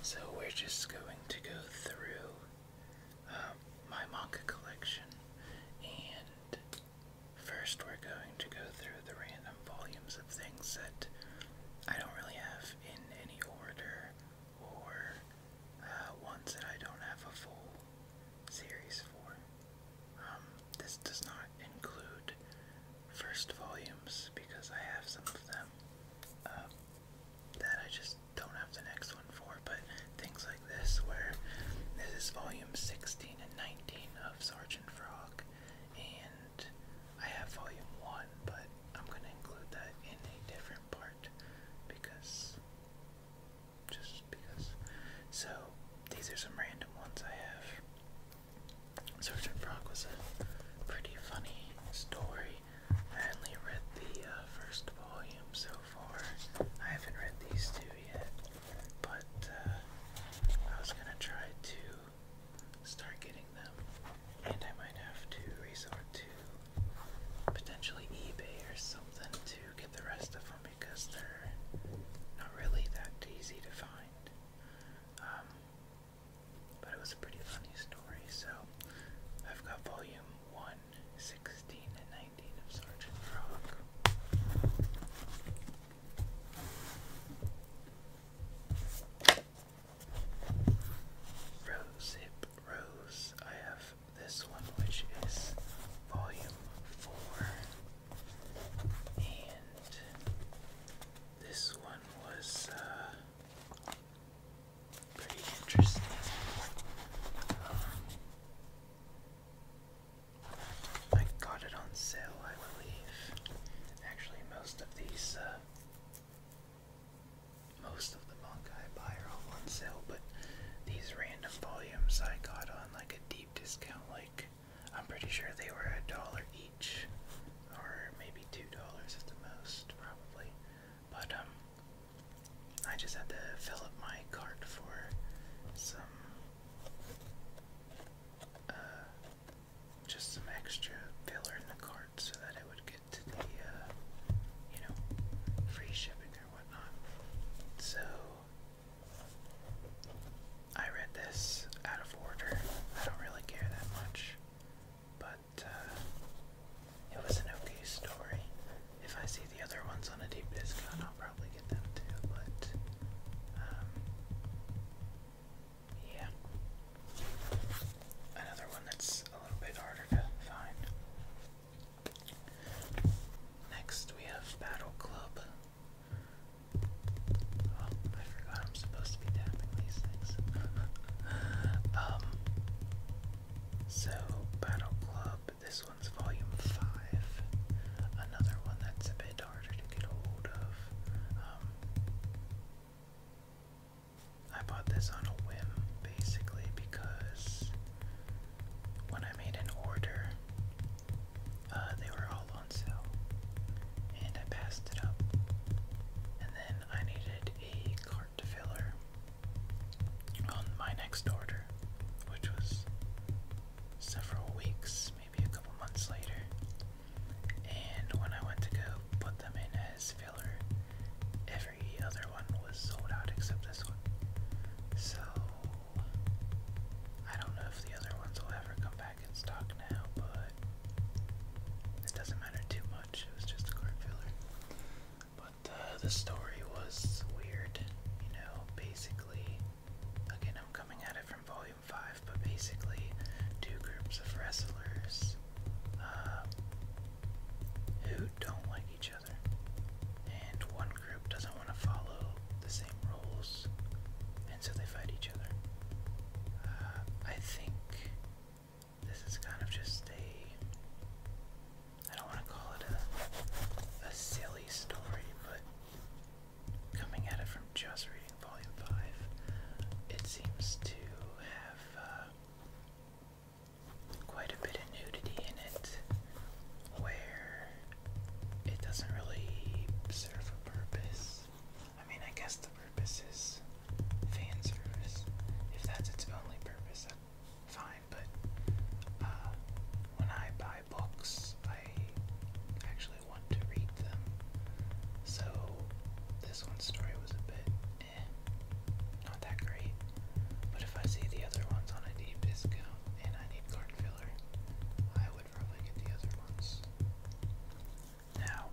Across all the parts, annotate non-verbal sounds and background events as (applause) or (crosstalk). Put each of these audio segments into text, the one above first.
So we're just going to go through um, my manga collection, and first we're going to go through the random volumes of things that I don't really have in any order, or uh, ones that I don't have a full series for. Um, this does not include first volumes because I have some of them. Um, that I just don't have the next one for, but things like this, where this is volume 16 and 19 of Sergeant Frog, and I have volume 1, but I'm going to include that in a different part because. Just because. So, these are some random ones I have. Sergeant Frog was a pretty funny story I only read the uh, first volume so far. I haven't read these two yet, but uh, I was gonna try to start getting them, and I might have to resort to potentially eBay or something to get the rest of them because they're not really that easy to find. Um, but it was a pretty funny story, so I've got volume 1, 16, and 19 of Sergeant Frog. Rose Hip Rose. I have this one, which is volume 4, and this one was. Uh, pretty interesting. I got it on sale, I believe. Actually, most of these, uh, most of the manga I buy are all on sale, but these random volumes I got on like a deep discount, like I'm pretty sure they were a dollar each, or maybe two dollars at the most, probably. But um I just had to fill up my cart for some uh just some extra filler in the cart so that I would get to the uh, you know free shipping or whatnot. So I read this out of order. I don't really care that much. But uh, it was an okay story. If I see the other ones on a deep disk I'll probably get them too, but um, yeah. Another one that's a little bit harder to find. Next we have Battle Club. Oh, I forgot I'm supposed (laughs) Um, so, Battle Club, this one's volume 5. Another one that's a bit harder to get hold of. Um, I bought this on a whim, basically, because when I made an order, uh, they were all on sale, and I passed it up. And then I needed a card filler on my next order, which was several weeks, maybe a couple months later. And when I went to go put them in as filler, every other one was sold out except this one. So I don't know if the other ones will ever come back in stock now, but it doesn't matter too much. It was just a card filler. But uh, the story was weird. You know, basically, again, I'm coming at it from Volume Five, but basically, two groups of wrestlers uh, who don't like each other, and one group doesn't want to follow the same rules, and so they fight each other. Uh, I think this is kind of just a I don't want to call it a a silly story, but coming at it from just reading volume five, it seems to have uh, quite a bit of nudity in it, where it doesn't really serve a purpose. I mean, I guess the purpose is fan service. If that's its only purpose, fine. But uh, when I buy books, I actually want to read them. So this one story was a bit eh, not that great. But if I see the other ones on a deep discount and I need card filler, I would probably get the other ones. Now,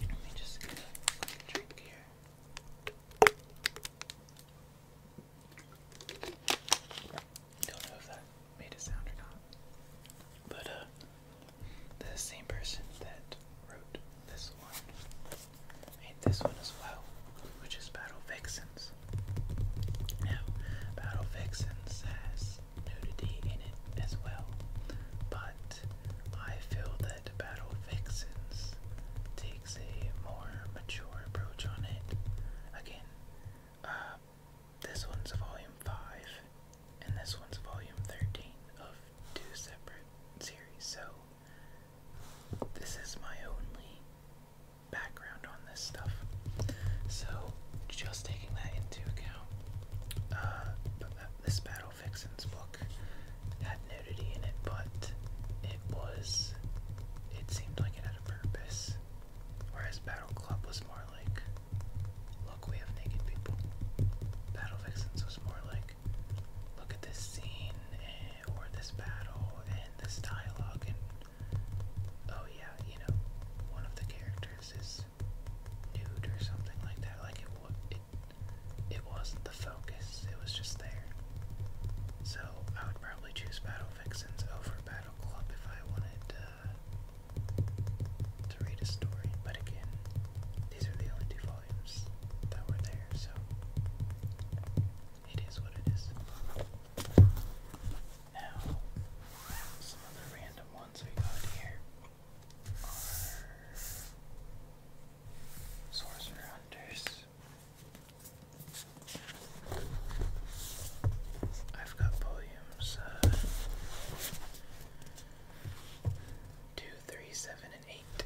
let me just get a drink here. Don't know if that made a sound or not. But uh the same person that wrote this one made this one as well, which is Battle Vixens. Now, Battle Vixens has nudity in it as well, but I feel that Battle Vixens takes a more mature approach on it. Again, uh, this one's volume 5, and this one's volume 13 of two separate series, so this is my only background on this stuff. So, just taking that into account, uh, uh, this battle Vixen's book had nudity in it, but it was, it seemed like it had a purpose. Whereas Battle Club was more like, look, we have naked people. Battle Vixens was more like, look at this scene and, eh, or this battle and this dialogue, and oh yeah, you know, one of the characters is nude or something like that. Like it, it wasn't the focus, it was just there. So I would probably choose Battle Vixens over Battle Club if I wanted uh, to read a story. But again, these are the only two volumes that were there, so it is what it is. Now, some other random ones we got here are Sorcerer Hunters. I've got volumes uh, and 8.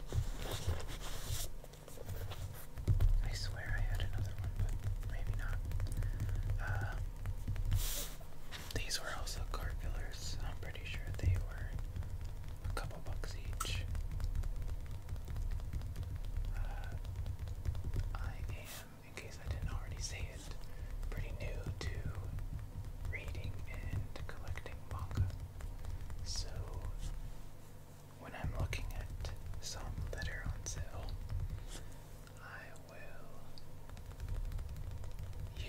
I swear I had another one, but maybe not. Uh, these were also carpillars. I'm pretty sure they were a couple bucks each. Uh, I am, in case I didn't already say it, pretty new to reading and collecting manga. So, when I'm looking at some that are on sale, I will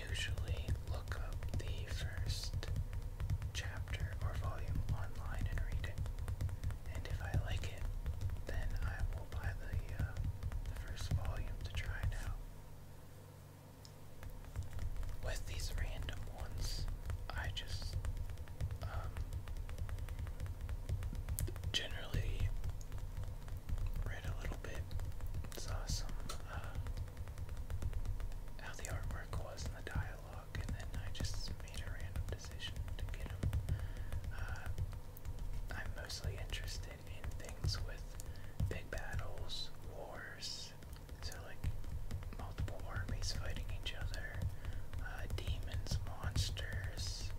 usually look up the first chapter or volume online and read it. And if I like it, then I will buy the, uh, first volume to try it out. With these random ones, I just um, generally read a little bit, saw some uh, how the artwork was and the dialogue, and then I just made a random decision to get them. Uh, I'm mostly interested in things with big battles, wars, so like multiple armies fighting each other, uh, demons, monsters,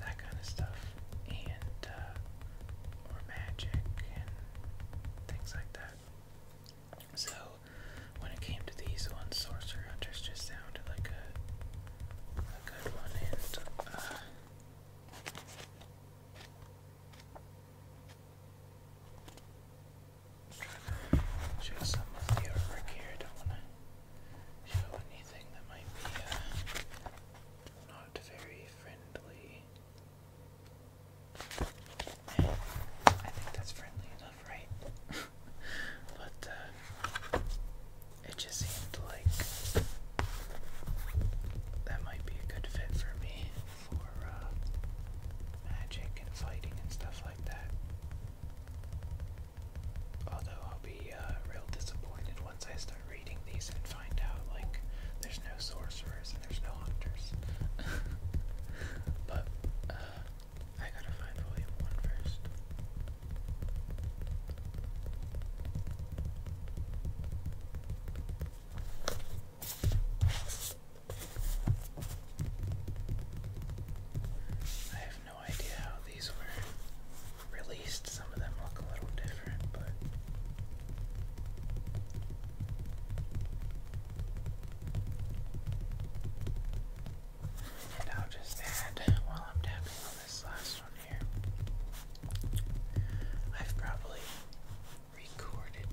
that kind of stuff, and uh, magic and things like that. So when it came to these ones, Sorcerer Hunters just sounded like a, good one, trying to uh, show some of the artwork here. don't want to show anything that might be uh, not very friendly. I think that's friendly enough, right? (laughs) but uh, it just seemed like that might be a good fit for me for uh, magic and fighting and stuff like that. Although I'll be uh, real disappointed once I start reading these and find out like there's no sorcerers there's no hunters. (laughs) but uh, I gotta find volume one first. I have no idea how these were released. Some of them look a little different, but and I'll just add, while I'm tapping on this last one here, I've probably recorded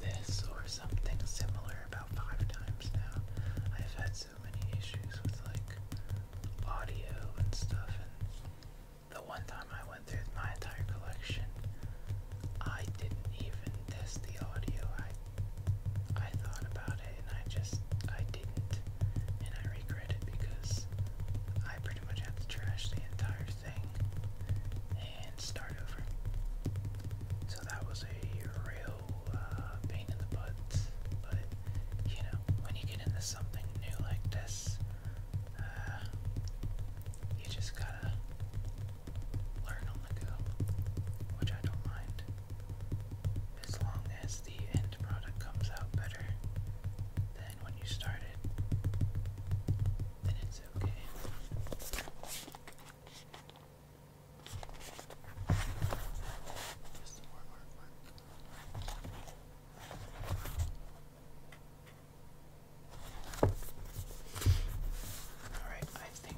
this or something similar about five times now. I've had so many issues with like audio and stuff, and the one time I went through my entire collection, I didn't even test the audio. I I thought about it and I just I didn't and I regret it because I pretty much had to trash the entire thing and start over. So that was a real uh, pain in the butt. But you know, when you get into something new like this, uh, you just gotta learn on the go, which I don't mind. As long as the end product comes out better than when you started, then it's okay. Just more artwork. Alright, I think,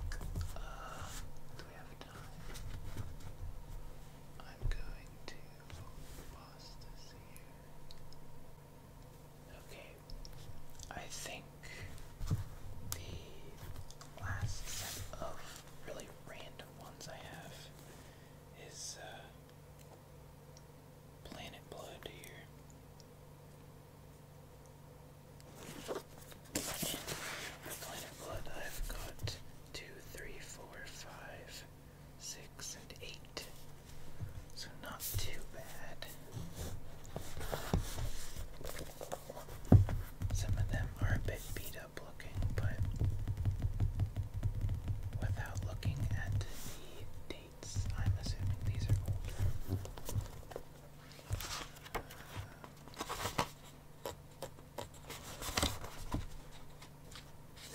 uh, do we have time? I'm going to pause this here. Okay, I think the last set of really random ones I have is uh, Planet Blood here. Planet Blood, I've got two, three, four, five, six, and eight. So not too bad. Some of them are a bit beat up looking, but without looking at the dates, I'm assuming these are old.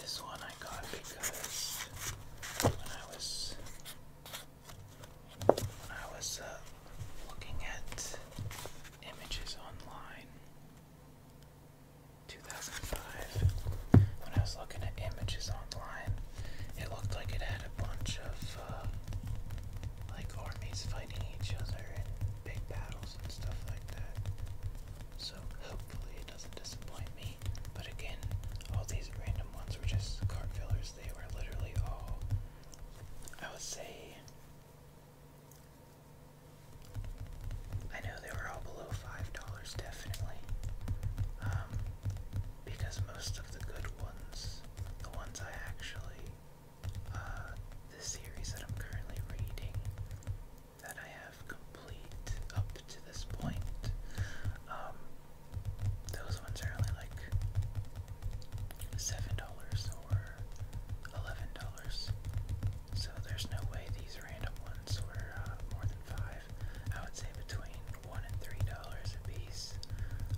This one I got because when I was when I was uh, looking at images online 2005 when I was looking at images online it looked like it had a bunch of uh, like armies fighting each other and big battles and stuff like that. So hopefully it doesn't disappoint me. But again, all these random ones were just card fillers. They were literally all, I would say, I know they were all below $5 definitely. Um, because most of the good ones, the ones I actually uh, the series that I'm currently reading that I have complete up to this point. Um, those ones are only like seven dollars or eleven dollars, so there's no way these random ones were uh, more than five. I would say between one and three dollars a piece.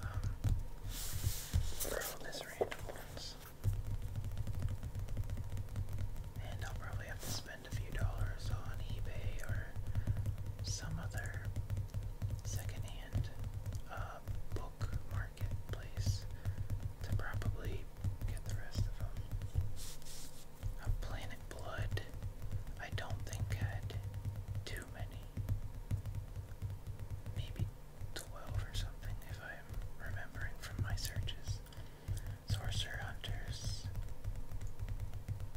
Um, throw this random ones. And I'll probably have to spend a few dollars on eBay or some other secondhand uh, book marketplace to probably get the rest of them. Uh, Planet Blood, I don't think had too many. Maybe 12 or something, if I'm remembering from my searches. Sorcerer Hunters.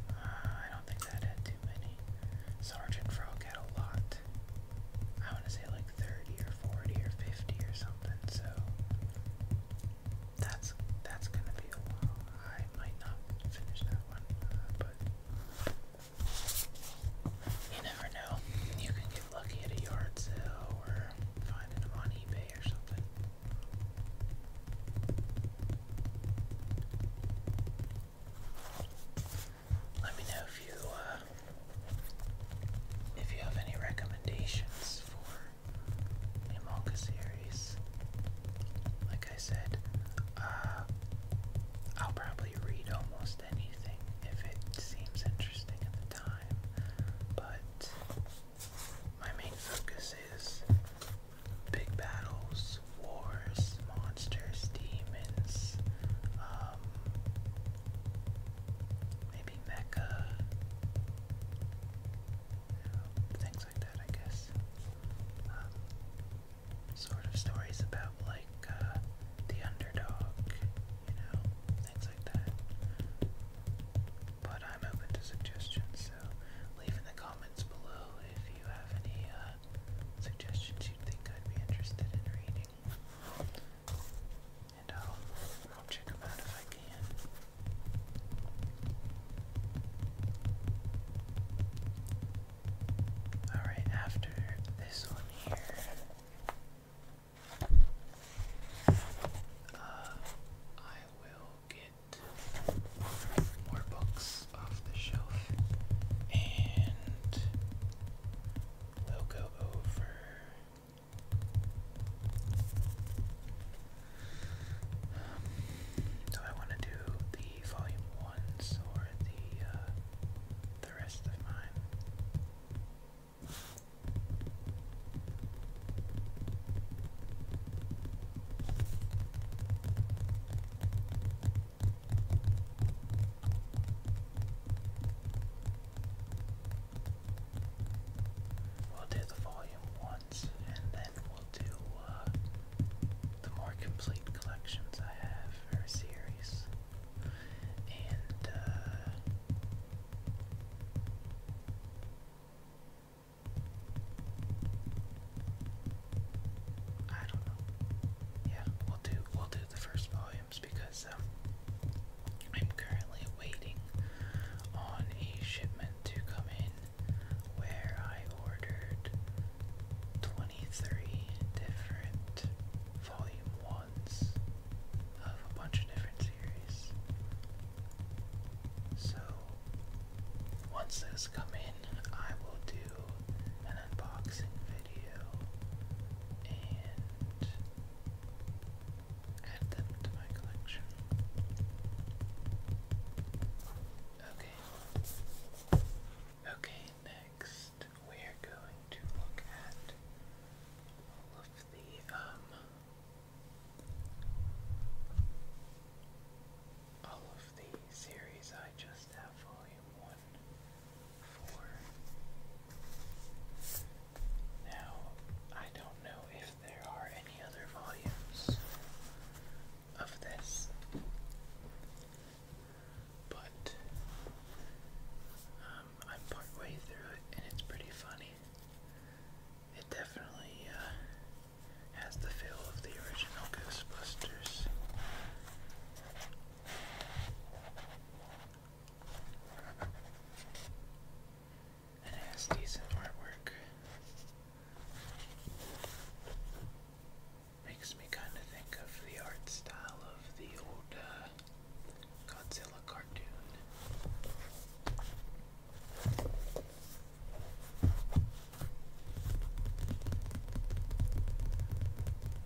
Uh, I don't think that had too many. Sergeant Frog had a lot. I want to say like 30 or 40 or 50 or something, so that's that's gonna be a while. I might not finish that one, uh, but you never know. You can get lucky at a yard sale or finding them on eBay or something. Let me know if you uh, if you have any recommendations for a manga series. Like I said, uh, I'll probably read almost anything if it seems interesting at the time, but my main focus is big battles, wars, monsters, demons, um, maybe mecha, things like that, I guess. Um, sort of stories about like uh, the underdog, you know, things like that. But I'm open to suggestions, so leave in the comments below if you have any uh, suggestions you think I'd be interested in reading. And I'll, I'll check them out if I can. Alright, after this one here, uh, I will get more books off the shelf and we'll go over. Um, I want to do the volume ones or the uh, We'll do the volume once and then we'll do uh, the more complete collections I have for a series. Uh, I don't know. Yeah, we'll do we'll do the first volumes because um, I'm currently waiting on a shipment to come in where I ordered 23 different volume ones of a bunch of different series. So once those come in, I will do an unboxing video and add them to my collection. Okay. Okay, next we're going to look at all of the, um, all of the series I just have volume one for. Now, I don't know if there are any other volumes of this but um, I'm partway through it and it's pretty funny. It definitely uh, has the feel of the original Ghostbusters. And has decent artwork. Makes me kind of think of the art style of the old uh, Godzilla cartoon.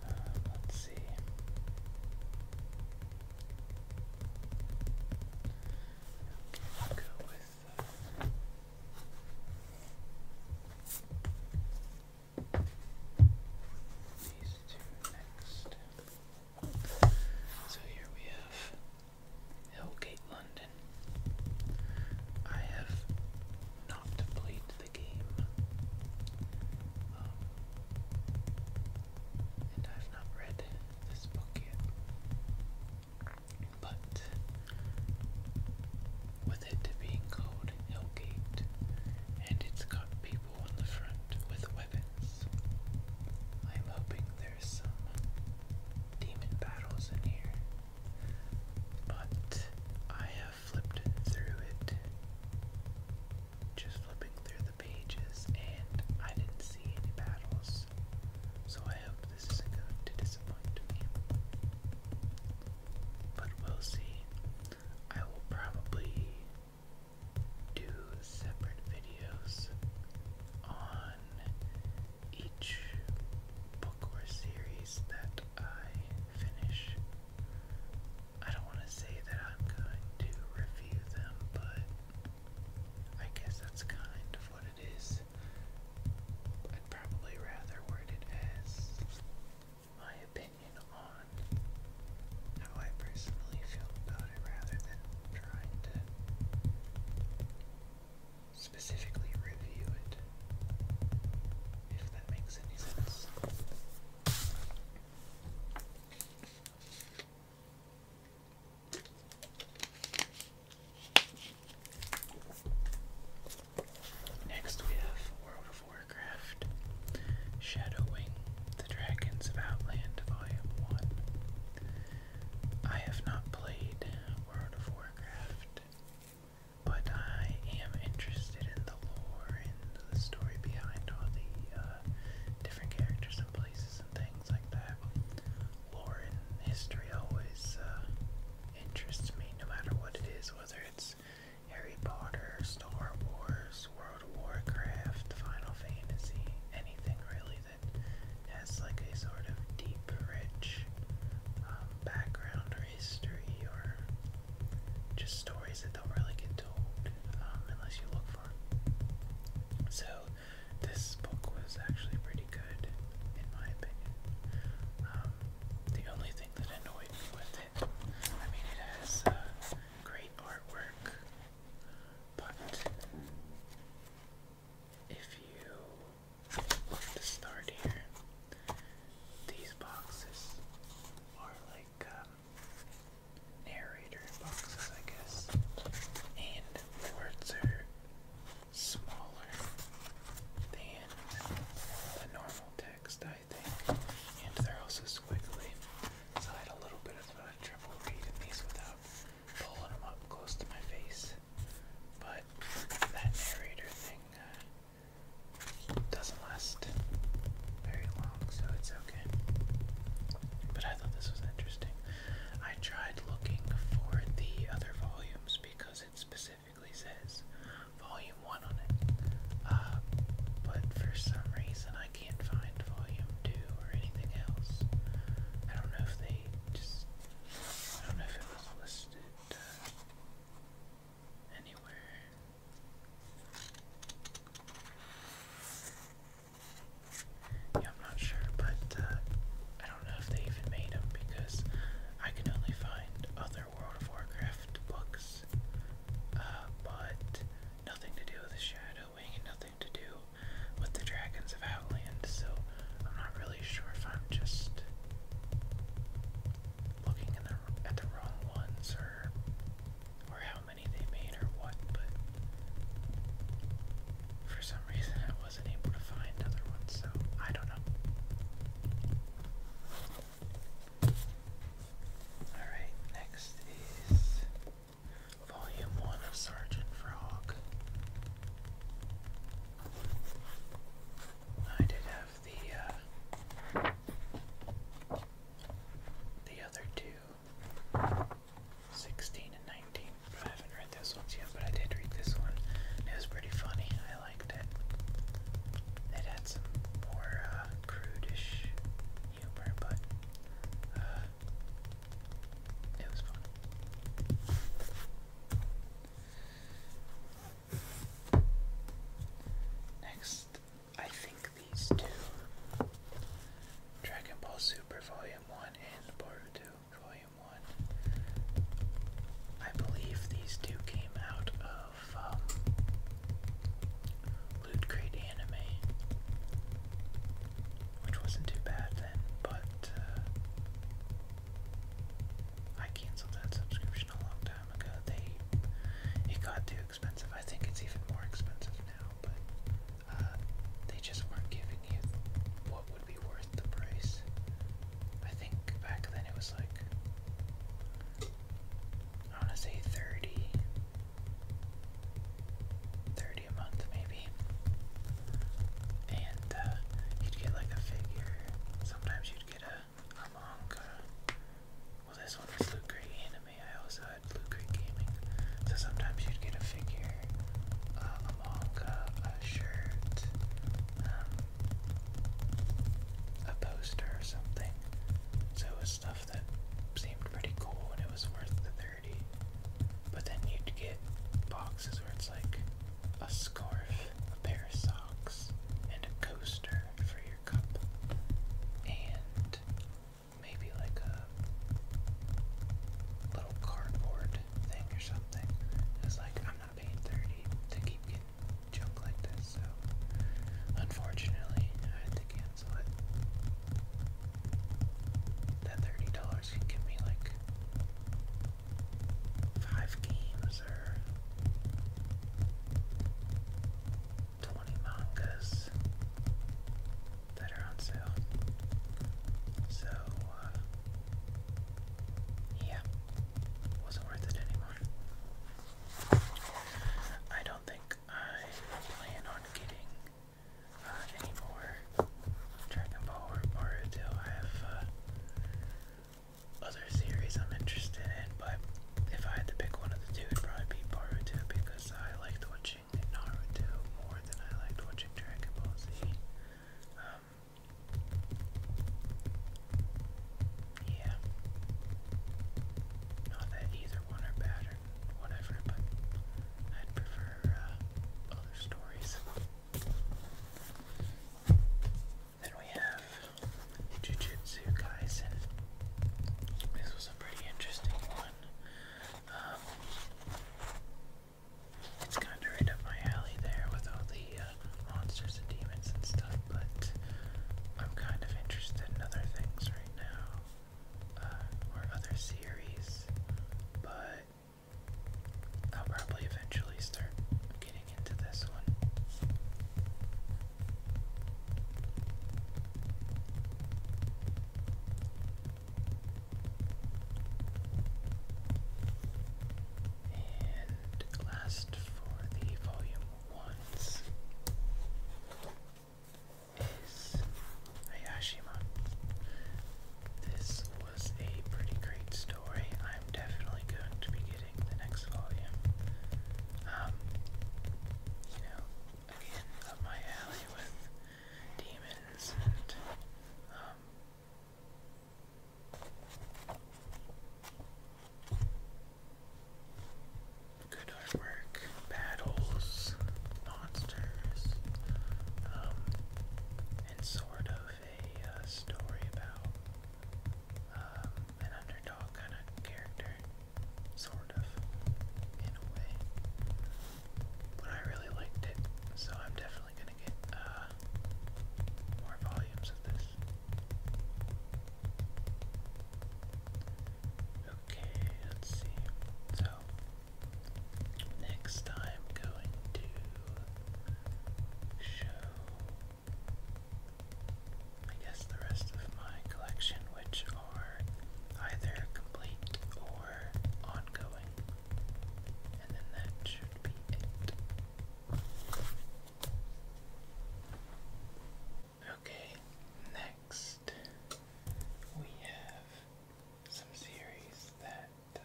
Uh, let's see. Okay, go with. Uh, so here we have Hellgate London. I have not played the game. Um, and I've not read this book yet. But with it being called Hellgate, and it's got people on the front with weapons. I'm hoping there's some demon battles in here. But I have flipped through it. Just flipping through the pages, and I didn't see any battles. So I hope this isn't going to disappoint me. But we'll see. I will probably do separate videos on each book or series that I finish. I don't want to say that I'm going to review them, but I guess that's kind of what it is. I'd probably rather word it as my opinion on how I personally feel about it rather than trying to specifically review it, if that makes any sense. Next, we have World of Warcraft Shadowing the Dragons of Outland Volume 1. I have not played World of Warcraft, but I am interested in the lore and the story behind all the uh, different characters and places and things like that. Lore and history always uh, interests me, no matter what it is, whether it's Harry Potter, Star Wars, World of Warcraft, Final Fantasy, anything really that has like a sort of deep, rich um, background or history or just stories that don't really get told um, unless you look for them. So this book was actually pretty good in my opinion. Um, the only thing that annoyed me with it, I mean it has uh, great artwork, but if you look to start here, these boxes are like um, narrator boxes, I guess, and words are smaller than the normal text I uh, But that narrator thing uh, doesn't last very long, so it's okay. But I thought this was interesting. I tried looking for the other volumes because it specifically says Volume 1 on it. Uh, but for some reason I can't find volume 2 or anything else. I don't know if they just. I don't know if it was listed uh, anywhere. Yeah, I'm not sure, but uh, I don't know if they even made them because I can only find other World of Warcraft books. but nothing to do with the Shadow Wing and nothing to do with the Dragons of Outland, so I'm not really sure if I'm just looking in the, at the wrong ones or or how many they made or what, but for some (laughs) reason I wasn't able to find other ones, so I don't know. Alright, next is Volume 1 of Sergeant Frog. I did have the uh, the other two, and 19, I haven't read those ones yet, but I did read this one. It was pretty funny. I liked it. It had some more uh, humor, but uh, it was fun. Next, I think these two Dragon Ball Super Volume 1 and Boruto Volume 1. I believe these two came out of um, Loot anime, which wasn't too bad then, but uh, I canceled that subscription a long time ago. They it got too expensive. I think it's even more expensive now, but uh, they just weren't giving you what would be worth the price. I think back then it was like I want to say 30 a month maybe and uh, you'd get like a figure sometimes you'd get a, a well this one was Loot Anime I also had Loot Gaming so sometimes you'd get a figure uh, a manga, a shirt um, a poster or something so stuff stuff that seemed pretty cool and it was worth the 30 but then you'd get boxes where it's like a scarf, a pair of socks, and a coaster for your cup, and maybe like a little cardboard thing or something. It's like, I'm not paying 30 to keep getting junk like this, so unfortunately, I had to cancel. That thirty dollars can give me like five games or twenty mangas that are on sale. So uh, yeah, wasn't worth it anymore. I don't think I plan on getting uh, any more Dragon Ball or until I have uh, other series I'm interested in, but if I had to pick one of the two, it'd probably be Boruto because I liked watching Naruto more than I liked watching Dragon Ball Z. Um, yeah. Not that either one are bad whatever, but I'd prefer uh, other stories. Then we have Jujutsu Kaisen. This was a pretty interesting one. Um, it's kind of right up my alley there with all the uh, monsters and demons and stuff, but I'm kind of interested in other things right now. Uh, or other series, but I'll probably eventually start getting into this one. And last for the volume ones, is Hayashima. This was a pretty great story. I'm definitely going to be getting the next volume. Um, you know, again, up my alley with demons and, um, good artwork, battles, monsters, um, and sort of a uh, story about um, an underdog kind of character, sort of, in a way. But I really liked it, so I'm definitely gonna get uh, more volumes of this. Okay, let's see. So next I'm going to show I guess the rest of my collection which are either complete or ongoing. And then that should be it. Okay, next we have some series that. Uh,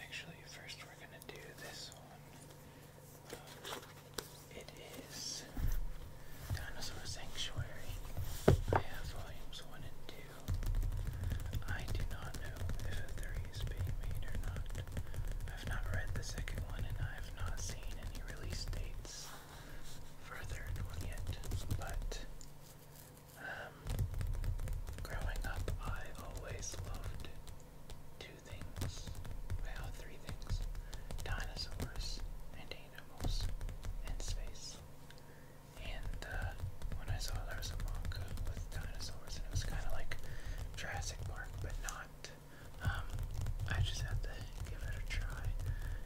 actually, first we're going to do this one. Um, it is Dinosaur Sanctuary. I have volumes 1 and 2. I do not know if a 3 is being made or not. I've not read the second one and I have not seen any release dates furthered yet, but um, growing up, I always loved two things, well, three things, dinosaurs and animals and space. And uh, when I saw there was a manga with dinosaurs, and it was kind of like Jurassic Park, but not um, I just had to give it a try,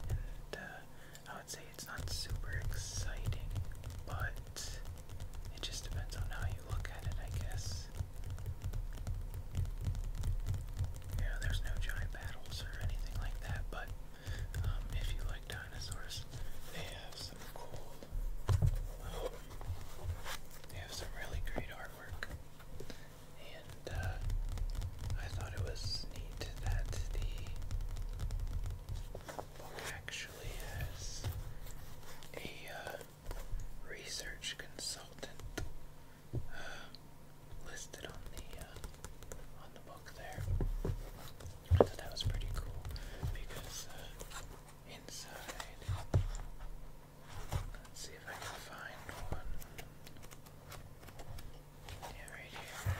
and uh, I would say it's not super exciting, but it just depends on how you look at it, I guess. Yeah, there's no giant battles or anything like that, but um, if you like dinosaurs, they have some cool. Um, they have some really great artwork and uh, I thought it was neat that the book actually has a uh, research consultant uh, listed on the uh, on the book there. I thought that was pretty cool because uh, inside. Let's see if I can find one. Yeah, right here.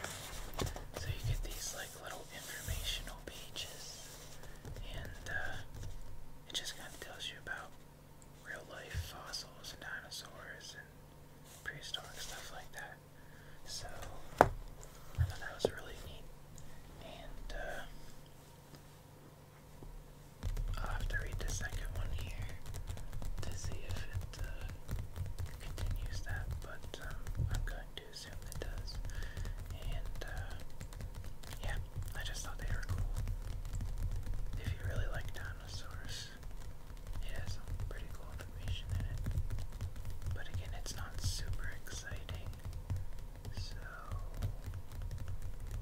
So you get these like little informational pages, and uh, it just kind of tells you about real life fossils and dinosaurs and prehistoric stuff like that. So I thought that was really neat, and uh, I'll have to read the second one here to see if it uh, continues that, but um, I'm going to assume it does. And uh, yeah, I just thought they were cool. If you really like dinosaurs, it has some pretty cool information in it. But again, it's not super exciting, so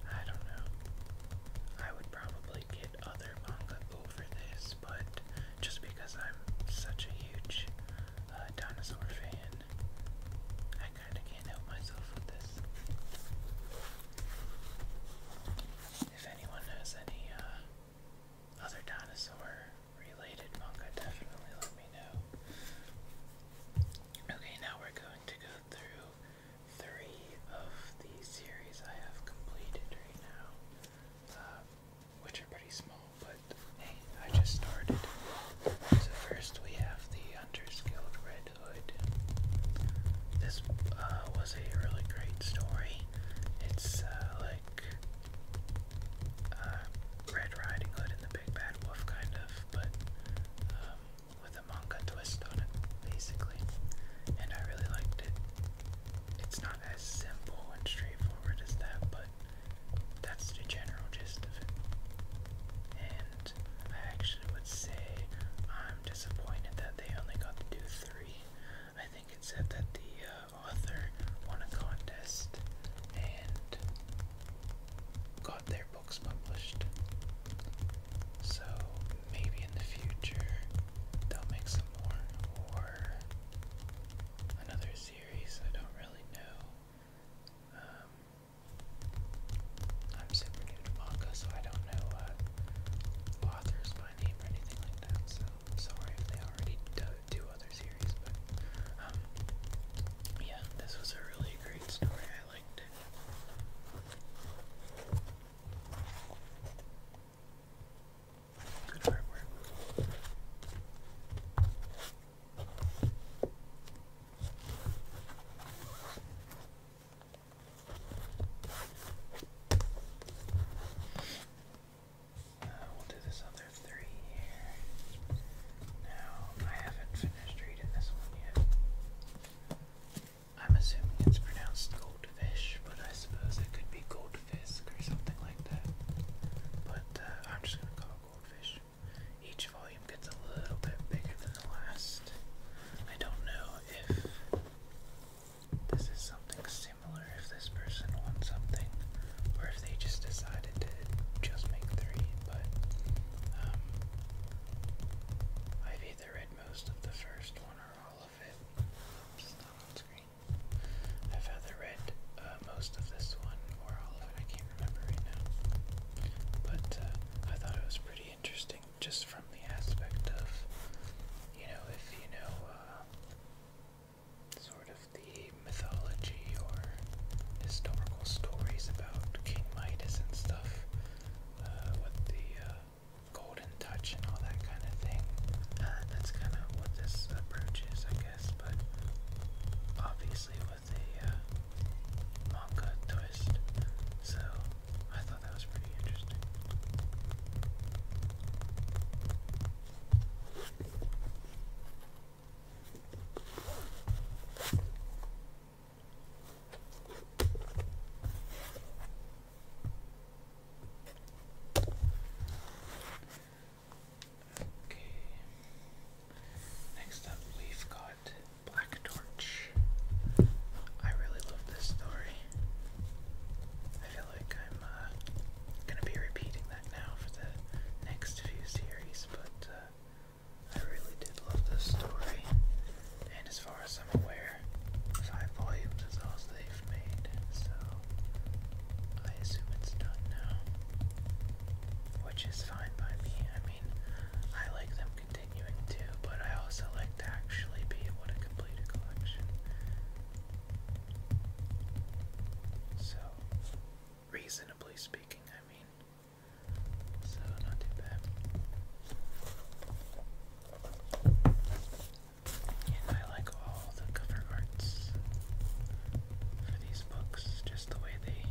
I don't know. I would probably get other manga over this, but just because I'm such a huge uh, dinosaur fan, I kind of can't help myself with this. If anyone has any uh, other dinosaur related manga, definitely let me know. Okay, now we're going to go through three of the series I have completed right now, uh, which are pretty small, but hey, I just started. So first we have the Underskilled Red Hood. This uh, was a really great story. It's uh, like Red Riding Hood and the Big Bad Wolf, kind of, but um, with a manga twist on it, basically. And I really liked it it's not as simple and straightforward as that, but that's the general gist of it. And I actually would say I'm disappointed that they only got to do three. I think it said that the uh, author won a contest and got their books published. So maybe in the future they'll make some more or another series. I don't really know. Um, I'm super new to manga, so I don't know authors by name or anything like that. So sorry if they already do, other series, but um, yeah, this was a really great story. I liked it. Good artwork. we'll do this other three here. Now, I haven't finished reading this one yet. I'm assuming it's pronounced goldfish, but I suppose it could be goldfish or something like that. But uh, I'm just gonna call it goldfish. Each volume gets a little bit bigger than the last. I don't know if this is something similar, if this person wants something, or if they just decided to just make three, but um, I've either read most of the first one or all I've either read uh, most of this one or all of it. I can't remember right now. But uh, I thought it was pretty interesting just from the aspect of, you know, if you know, uh, sort of the mythology or historical stories about King Midas and stuff, what the golden touch and all that kind of thing. Uh, that's kind of what this approach is, I guess, but obviously with the uh, twist. So I thought that was pretty interesting. Okay. Next up, we've got Black Torch. I really love this story. I feel like I'm uh, gonna be repeating that now for the next few series, but uh, I really did love this story far as I'm aware, five volumes is all they've made, so I assume it's done now. Which is fine by me. I mean, I like them continuing too, but I also like to actually be able to complete a collection. So, reasonably speaking, I mean. So, not bad. I like all the cover arts for these books, just the way they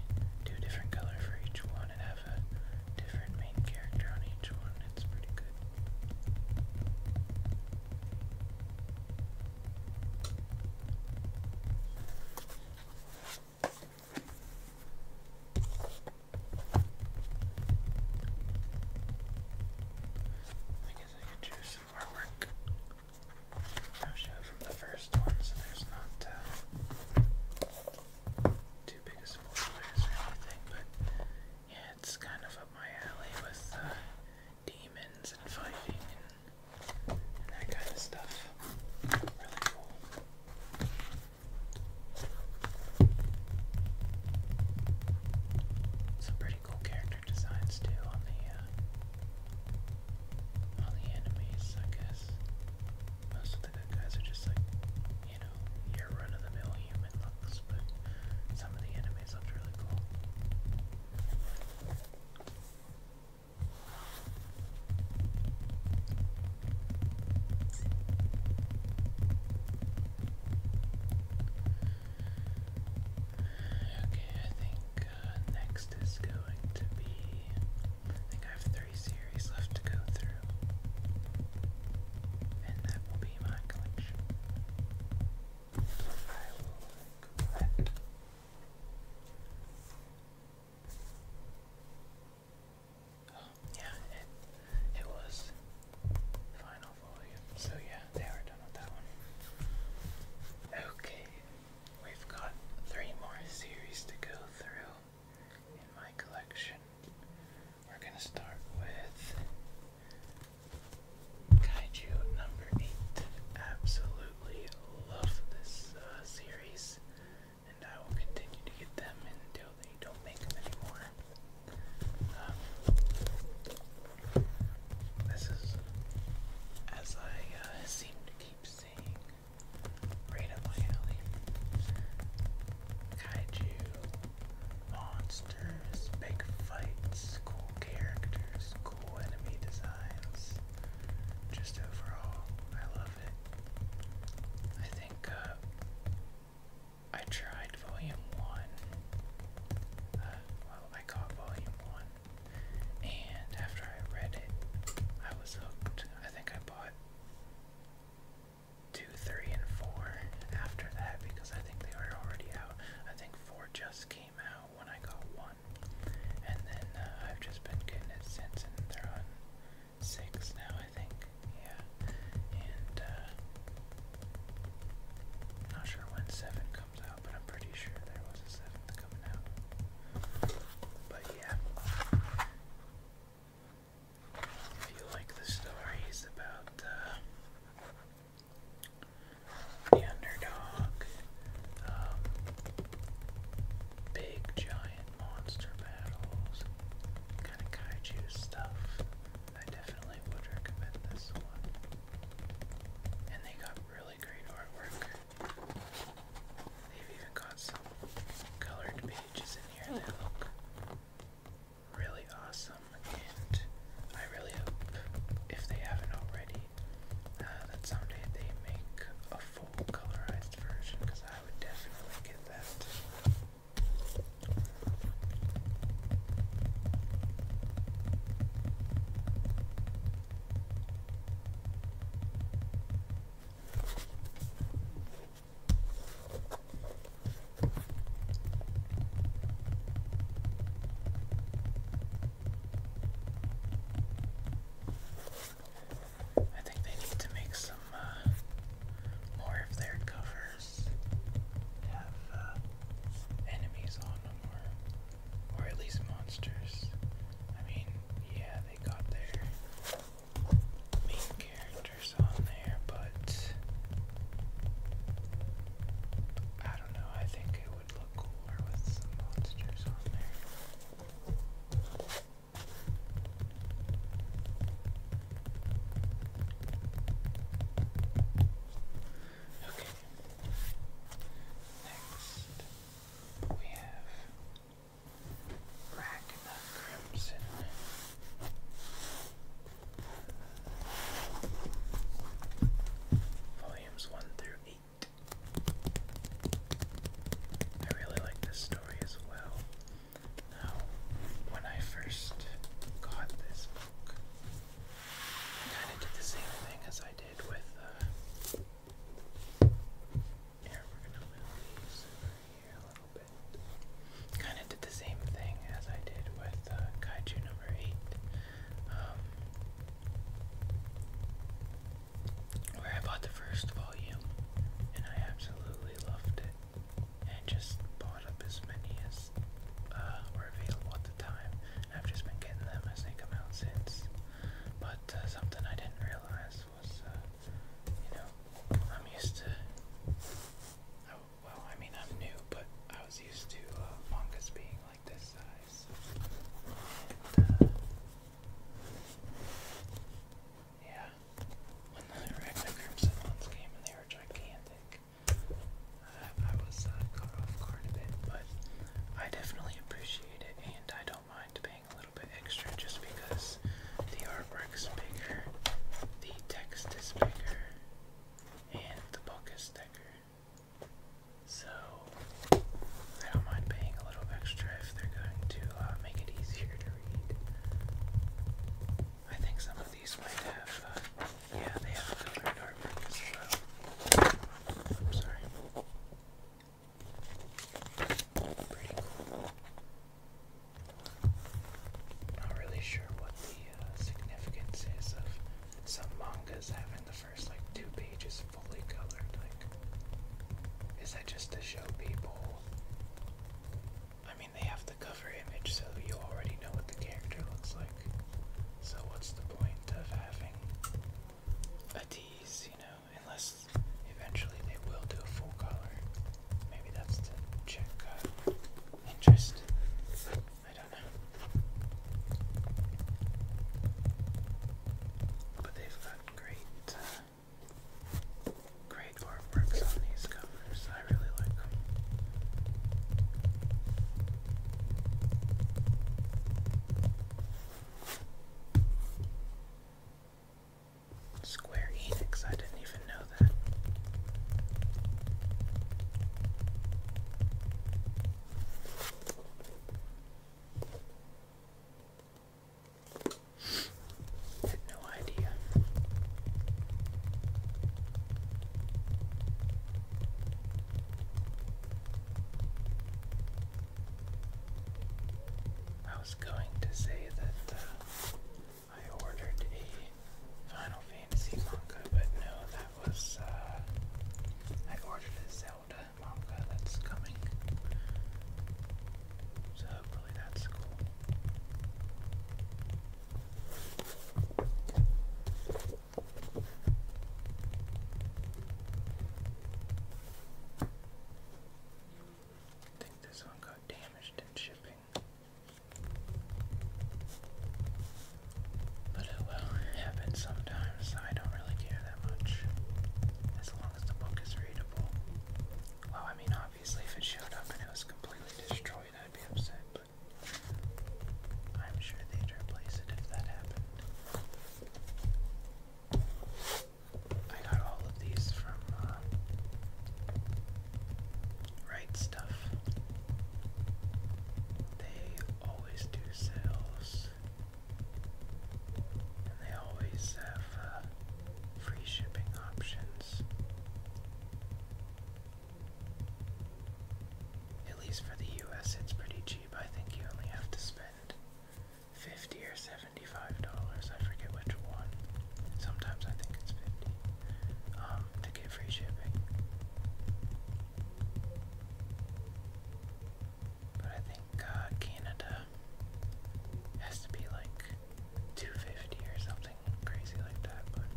do a different color for each one and have a different main character on each one. It's pretty good. I guess I could choose some artwork. i show from the first one there's not uh, too big of spoilers or anything, but yeah, it's kind of up my alley with uh, demons and fighting and, that kind of stuff. Really cool. So, cool character designs too on the uh, on the enemies, I guess. Most of the good guys are just like, you know, your run-of-the-mill human looks, but some of the enemies looked really cool. Okay, I think uh, next is going to be. I think I have three series left to go through, and that will be my collection. I will collect. Oh, yeah, it, it was Final so yeah, they are done with that one. Okay, we've got three more series to go through in my collection. We're gonna start with Kaiju number eight. Absolutely love this uh, series, and I will continue to get them until they don't make them anymore. Um, this is, as I uh, seem to keep seeing, right up my Kaiju, monsters, big fights, cool characters, cool enemy designs. Just overall, I love it. I think uh, I tried volume one. Uh, well, I got volume one, and after I read it, I was hooked. I think I bought two, three, and four after that because I think they were already out. I think four just came out when I got one, and then uh, I've just been getting it since, and they're on six now, I think. Yeah, and uh, I'm not sure when 7 comes out, but I'm pretty sure there was a seven coming out. But yeah. If you like the stories about uh, the underdog, um, big giant monster battles, kind of kaiju stuff, I definitely would recommend this one. And they got really great artwork. They've even got some colored pages in here that look really awesome. And I really hope, if they haven't already, uh, that someday they make a full colorized version because I would definitely get that. I think they need to make some uh, more of their covers have uh, enemies on them, or at least monsters. I mean, yeah, they got their main characters on there, but I don't know, I think it would look cooler with some monsters on there. Okay. Next, we have Ragna Crimson. Volumes 1 through 8. I really like this story as well. Now, when I first got this book, kind of did the same thing as I did with. Uh, kind of did the same thing as I did with uh, Kaiju number eight, um, where I bought the first volume and I absolutely loved it, and just bought up as many as uh, were available at the time. I've just been getting them as they come out since. But uh, something I didn't realize was, uh, you know, I'm used to. Oh, well, I mean, I'm new, but I was used to uh, being like this size. Uh, yeah, when the Arachno Crimson ones came and they were gigantic, I, was uh, off guard a bit, but I definitely appreciate it, and I don't mind paying a little bit extra just because the artwork is bigger, the text is bigger, and the book is thicker. So, I don't mind paying a little extra if they're going to uh, make it easier to read. I think some of these might have uh, yeah, they have really great as well. I'm sorry. Pretty cool. Not really sure what the uh, significance is of some mangas having the first like two pages fully colored. Like, is that just to show people? I mean, they have the cover image, so you already know what the character looks like. So what's the point of having a tease, you know, unless eventually they will do a full color. Maybe that's to check uh, interest. I don't know. But they've got great, uh, great artworks on these covers. I really like Square Enix, I didn't even know that. Had no idea. I was going to say that uh, I ordered a Final Fantasy manga, but no, that was, uh, I ordered a Zelda manga that's coming. So hopefully that's cool. I think this one got damaged in shipping. But it will happen sometimes. I don't really care that much. As long as the book is readable. Well, I mean, obviously, if it showed up and it was completely destroyed, I'd be upset, I'm sure they'd replace it if that happened. I got all of these from uh, Stuff. They always do sales, and they always have uh, free shipping options. At least for the US, it's pretty cheap. I think you only have to spend 50 or 75 dollars. I forget which one. Sometimes I think it's 50 um, to get free shipping. But I think uh, Canada has to be like 250 or something crazy like that, but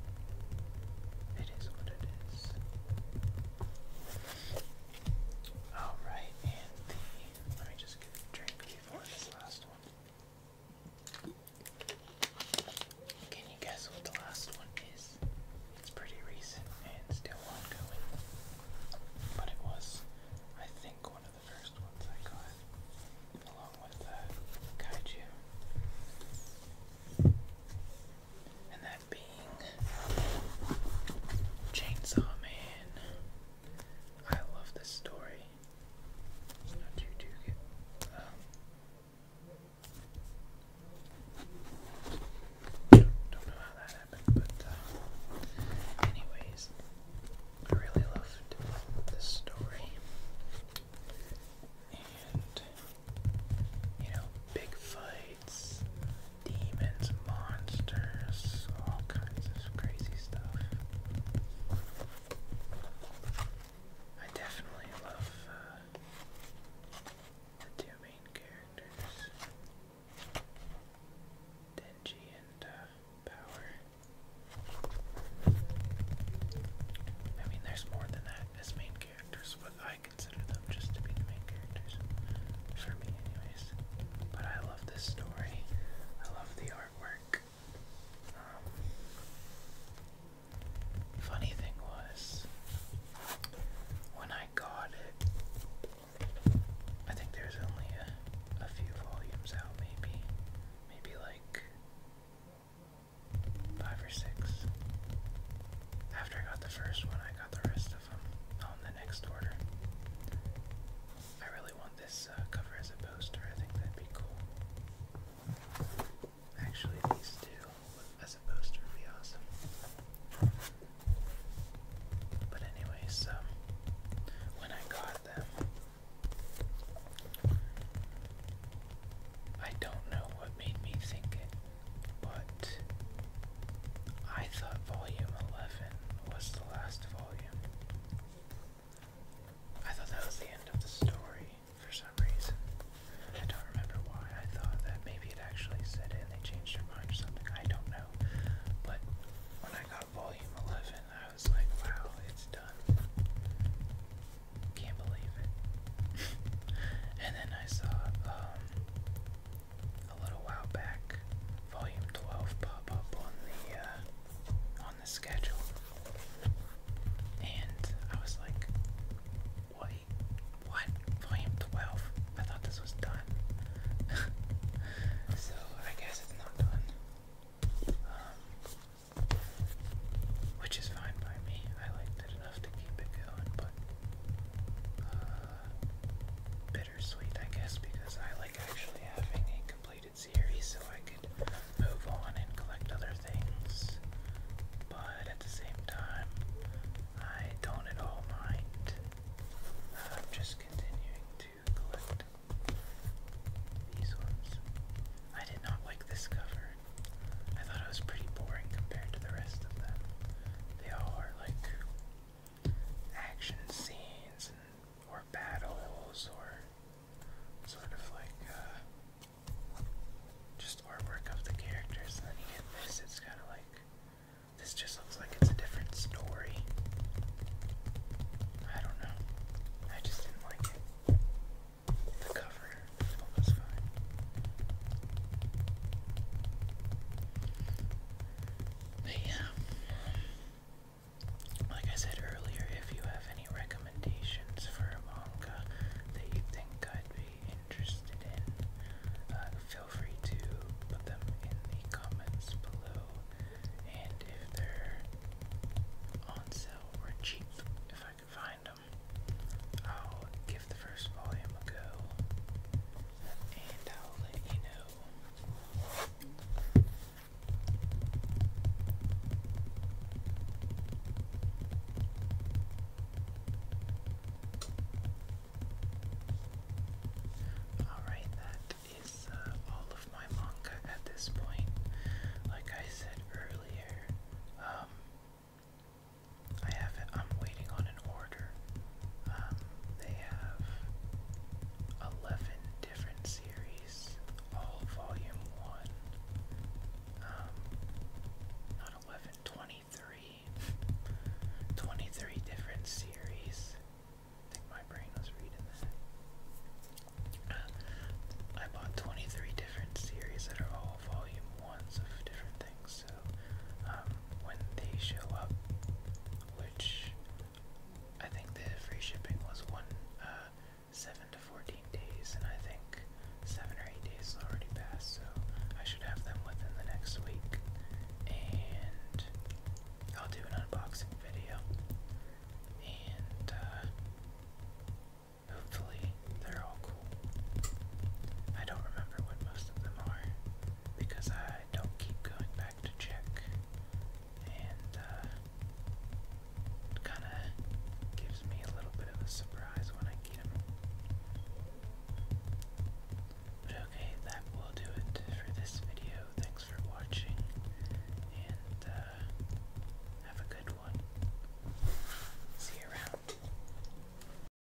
it is what it is. All right, and let me just drink before this last one. Can you guess what the last one is? It's pretty recent and still ongoing, but it was, I think, one of the first ones I got, along with uh, Kaiju. And that Chainsaw Man. I love this story. Um, don't know how that happened, but uh, anyways, I really loved this story, you know, big fights, demons, monsters, all kinds of crazy stuff. I definitely love uh, the two main characters, Denji and uh, Power. I mean, there's more than that as main characters, but I consider them just to be main characters. For me, anyways. But I love this story. I love the artwork. Um, funny thing was, when I got it, I think there's only a, a few volumes out, maybe. Maybe like five or six. After I got the first one, I got the rest of them on the next order. I really want this uh, cover as a poster, I think that'd be cool. Actually, these two as a poster would be awesome. But, anyways, um, when I got them, I don't know what made me think it. But I thought volume 11 was the last volume. I thought that was the end of the story for some reason. I don't remember why. I thought that maybe it actually said it and they changed their mind or something. I don't know. But when I got volume 11, I was like, wow, it's done. Can't believe it. (laughs) and then I saw um, a little while back, volume 12 pop up on the uh, on the schedule, and I was like, wait, what? Volume 12? I thought this was done. (laughs) so I guess it's not done. Um, which is fine by me. I liked it enough. Uh, bittersweet, I guess, because I like actually having a completed series so I could move on and collect other things. But at the same time, I don't at all mind. Uh, just continuing to collect these ones. I did not like this cover. I thought it was pretty boring compared to the rest of them. They all like action scenes and, or battles or sort of like uh, just artwork of the characters. And then you get this, it's kind of like this just looks like it's a different story. I don't know. I just didn't like The cover but yeah, like I said earlier, if you have any recommendations for a manga that you think I'd be interested in, uh, feel free to put them in the comments below. And if they're on sale or cheap, if I could find them, I'll give the first volume a go. I'll let you know. Alright, that is uh, all of my manga at this point. Like I said earlier, um, I have I'm waiting on an order. Um, they have 11 different series, all volume 1. Um, not 11, 23. different series. I think my brain was reading that. Uh, I bought 23 different series that are all volume 1s of different things. So um, when they show up, which I think the free shipping was one uh, seven to fourteen days, and I think seven or eight days already passed, so I should have them within the next week, and I'll do an unboxing video, and uh, hopefully they're all cool. I don't remember because I don't keep going back to check, and uh, kind of gives me a little bit of a surprise when I get them. But okay, that will do it for this video. Thanks for watching, and uh, have a good one. See you around.